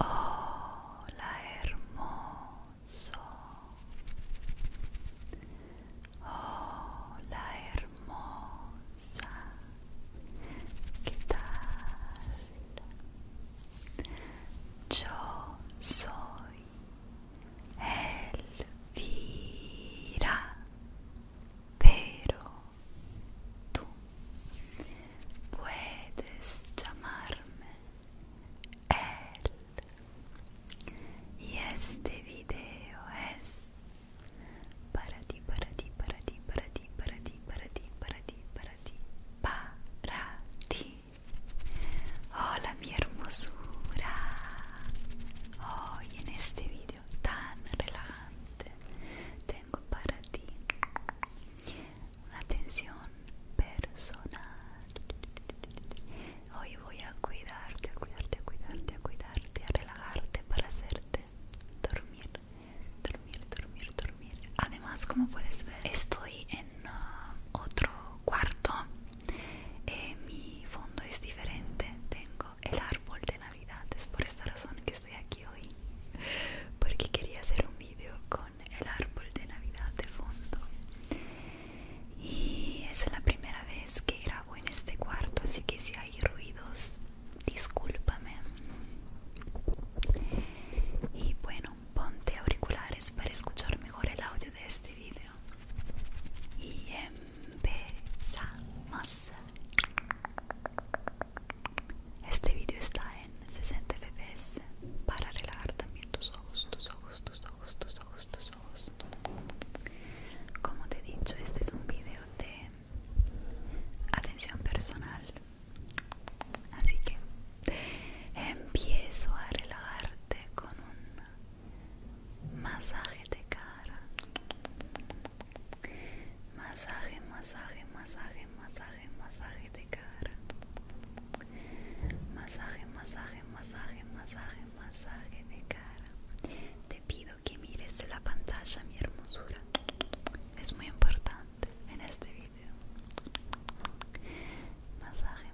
Oh, la hermoso. la hermosa. ¿Qué tal? Yo soy Elvira, pero tú puedes llamarme él. Y este video es para ti, para ti, para ti, para ti, para Hola mi hermosura hoy en este video tan relajante tengo para ti una atención personal hoy voy a cuidarte a cuidarte a cuidarte a cuidarte a relajarte para hacerte dormir dormir dormir dormir además como puedes ver estoy en ah, otro cuarto eh, mi fondo es diferente tengo el árbol de navidad es por esta razón que estoy aquí hoy porque quería hacer un vídeo con el árbol de navidad de fondo y es la primera vez que grabo en este cuarto así que si hay ruidos discúlpame y bueno ponte auriculares para escuchar mejor el audio de este vídeo y empezamos. Este vídeo está en 60 fps para relajar también tus ojos, tus ojos, tus ojos, tus ojos, tus Como te he dicho, este es un vídeo de atención personal. Así que empiezo a relajarte con un masaje de cara masaje masaje masaje masaje masaje de cara masaje masaje masaje masaje masaje de cara te pido que mires la pantalla mi hermosura es muy importante en este video masaje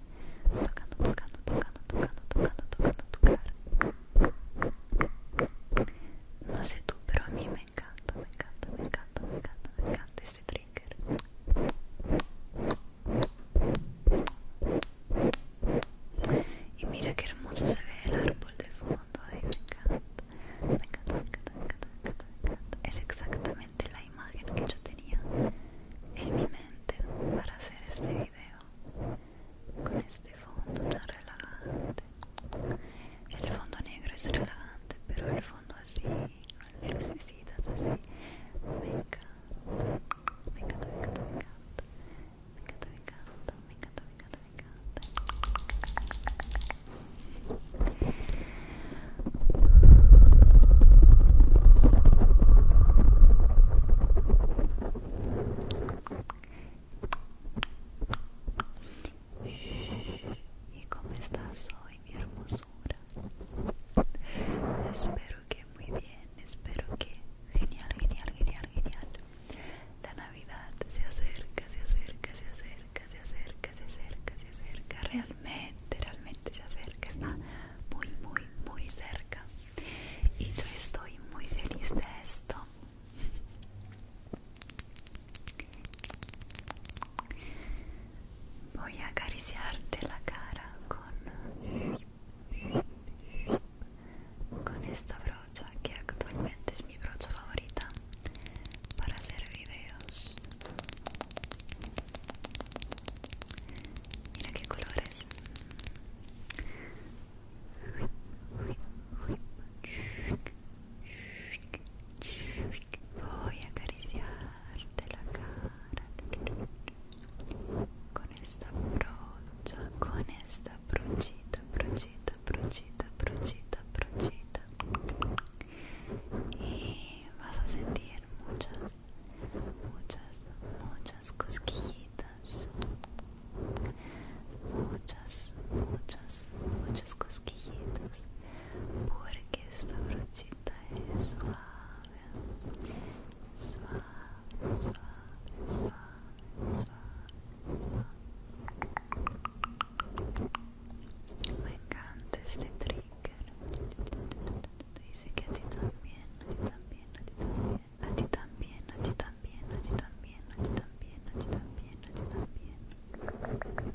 tocando, tocando, tocando, tocando, tocando, tocando tu cara. No sé tú, pero a mí me encanta, me encanta, me encanta, me encanta, me encanta este trigger. Y mira qué hermoso se ve el árbol de fondo, ahí, me encanta, me encanta, me encanta, me encanta, me encanta, me encanta. Es exactamente la imagen que yo tenía en mi mente para hacer este video con este fondo tan relajante. El fondo negro es relajante, pero el fondo así, con lucecitas así, me encanta. Me encanta, me encanta, me encanta. Me encanta, me encanta, me encanta, me encanta, me encanta. ¿Y cómo estás hoy, mi hermosura? Espero que muy bien, espero que genial, genial, genial, genial. La Navidad se acerca, se acerca, se acerca, se acerca, se acerca, se acerca. Realmente, realmente se acerca. Está muy, muy, muy cerca y yo estoy muy feliz de esto voy a acariciarte la cara con con esta brocha que actualmente es mi brocha favorita para hacer videos Mira qué colores. Voy a acariciarte la cara con esta brocha, con esta brochita, brochita, brochita, brochita, brochita. Y vas a sentir muchas muchas, muchas cosquillitas, muchas, muchas, muchas cosquillitas, porque esta brochita es suave, suave, suave, suave, suave, suave. Me encanta este trick. Dice que a ti también, a ti también, a ti también, a ti también, a ti también, a ti también, a ti también, a ti también, a ti también.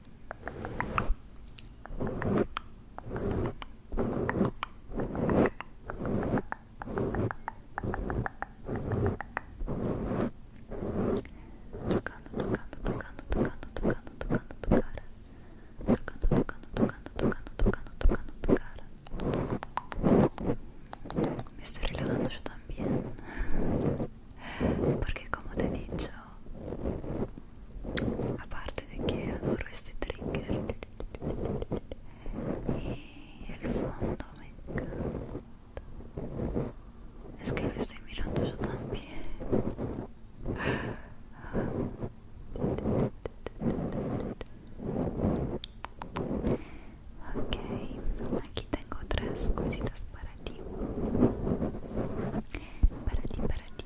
Tocando, tocando, tocando, tocando, tocando, tocando tocando cara. Tocando, tocando, tocando, tocando, tocando, tocando tu cara. Me estoy relajando yo también. Porque como te he dicho, aparte de que adoro este trigger y el fondo me encanta es que lo estoy mirando yo también ok aquí tengo otras cositas para ti para ti para ti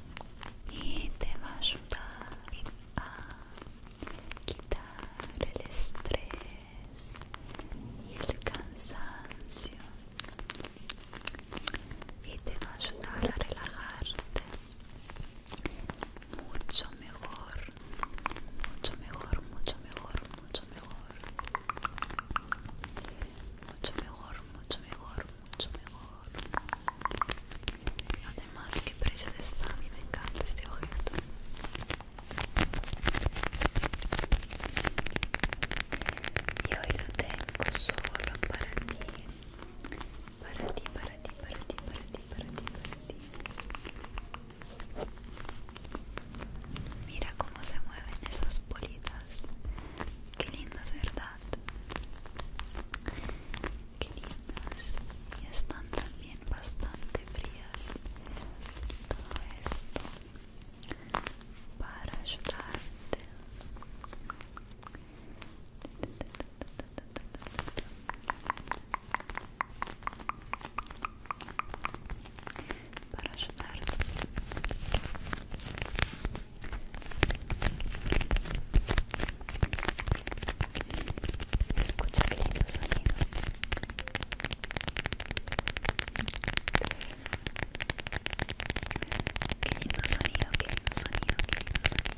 y te va a ayudar a quitar el estrés y el cansancio y te va a ayudar a relajarte mucho mejor mucho mejor mucho mejor mucho mejor mucho mejor mucho mejor mucho mejor además qué precio está a me encanta este objeto y hoy lo tengo solo para ti para ti para ti para ti para ti para ti para ti mira cómo se mueven esas bolitas qué lindas verdad que ni lindas y están también bastante frías todo esto para ayudarte para ayudarte Escucha qué lindo sonido. Qué lindo sonido, qué lindo sonido, qué lindo sonido.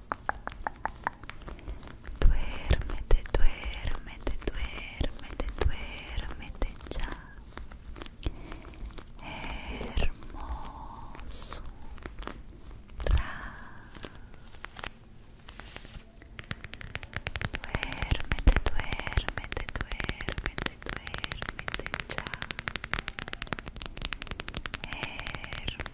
Duérmete, duérmete, duérmete, duérmete ya. Hermoso. Duérmete, duérmete, duérmete, duérmete ya. Hermoso.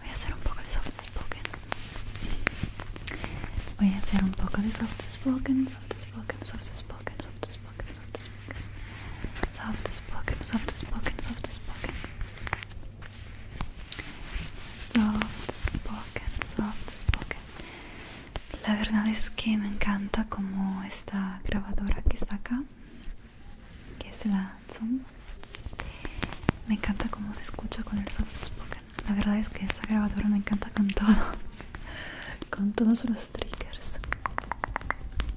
Voy a hacer un poco de soft spoken. Voy a hacer un poco de soft spoken, soft spoken, soft spoken, soft spoken, soft spoken. Soft spoken, soft spoken, soft spoken. Soft spoken, soft spoken. La verdad es que me encanta como esta grabadora que está acá, que es la me encanta cómo se escucha con el soft spoken. La verdad es que esa grabadora me encanta con todo, con todos los triggers.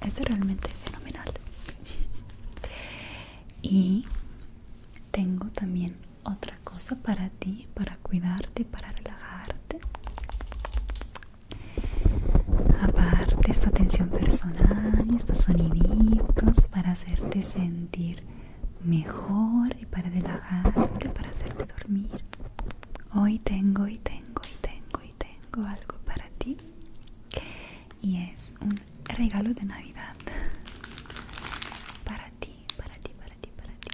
Es realmente fenomenal. Y tengo también otra cosa para ti, para cuidarte, para relajarte. Aparte esta atención personal, estos soniditos para hacerte sentir mejor y para relajarte, para hacerte dormir. Hoy tengo y tengo y tengo y tengo algo para ti. Y es un regalo de Navidad. Para ti, para ti, para ti, para ti.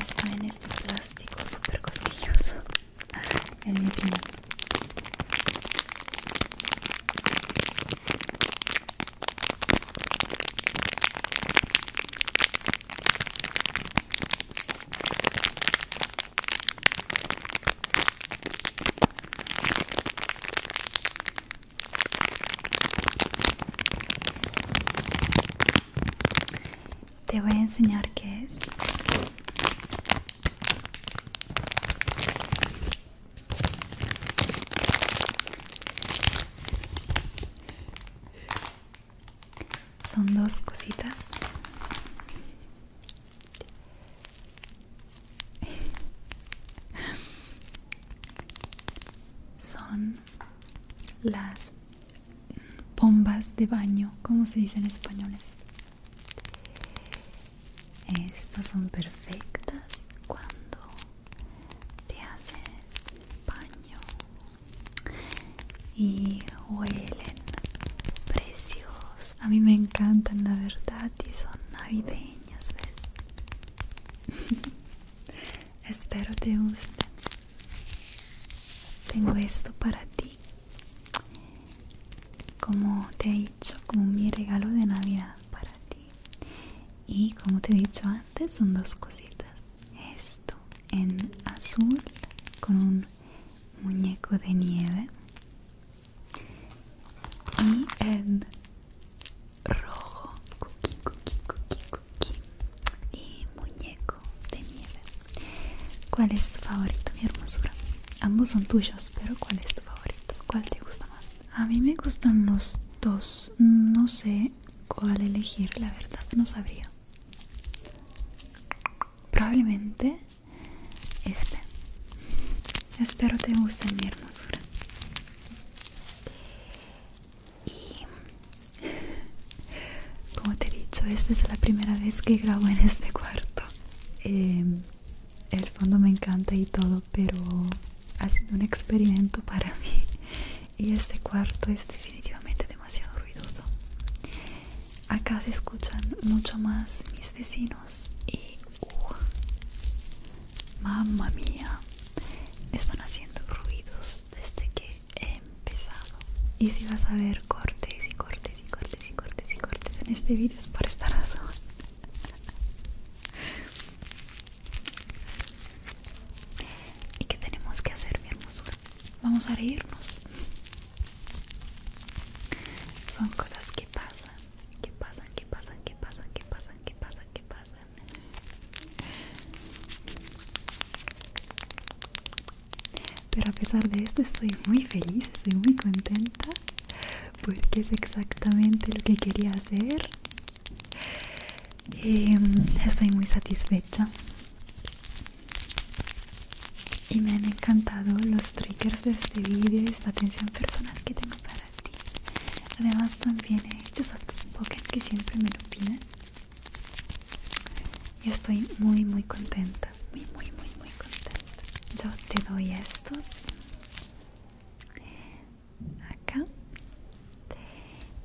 Está en este plástico súper cosquilloso. El vibrino. Te voy a enseñar qué es son dos cositas son las bombas de baño como se dice en español estas son perfectas cuando te haces baño y huelen preciosos. A mí me encantan, la verdad, y son navideños, ¿ves? Espero te gusten. Tengo esto para ti, como te he dicho, como mi regalo de Navidad para ti. Y como te he dicho antes, son dos cositas. Esto en azul con un muñeco de nieve y rojo y muñeco de nieve ¿Cuál es tu favorito mi hermosura? Ambos son tuyos pero ¿cuál es tu favorito? ¿Cuál te gusta más? A mí me gustan los dos no sé cuál elegir la verdad no sabría probablemente este espero te guste mi hermosura y como te he dicho esta es la primera vez que grabo en este cuarto em, el fondo me encanta y todo pero ha sido un experimento para mí y este cuarto es definitivamente demasiado ruidoso acá se escuchan mucho más mis vecinos y uh, mamma mía están haciendo ruidos desde que he empezado y si vas a ver cortes y cortes y cortes y cortes y cortes en este vídeo es por esta razón y que tenemos que hacer mi hermosura vamos a reírnos. Son cosas que pasan, que pasan, que pasan, que pasan, que pasan, que pasan, que pasan. Pero a pesar de esto estoy muy feliz, estoy muy contenta porque es exactamente lo que quería hacer. Em, estoy muy satisfecha y me han encantado los triggers de este vídeo esta atención personal que tengo para ti además también he hecho soft que siempre me lo piden y estoy muy muy contenta muy muy muy muy contenta yo te doy estos acá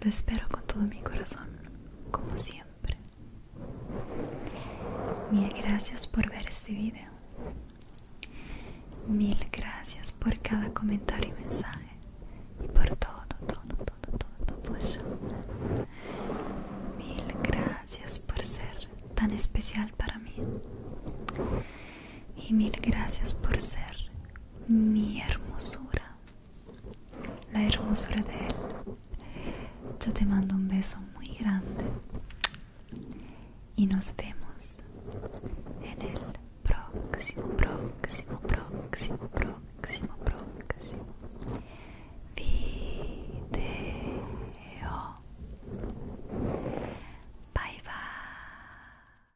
Lo espero con todo mi corazón, como siempre. Mil gracias por ver este video. Mil gracias por cada comentario y mensaje. Y por todo, todo, todo, todo tu apoyo. Mil gracias por ser tan especial para mí. Y mil gracias por ser mi hermosura, la hermosura de él. Yo te mando un beso muy grande y nos vemos en el próximo, próximo, próximo, próximo, próximo video. Bye bye.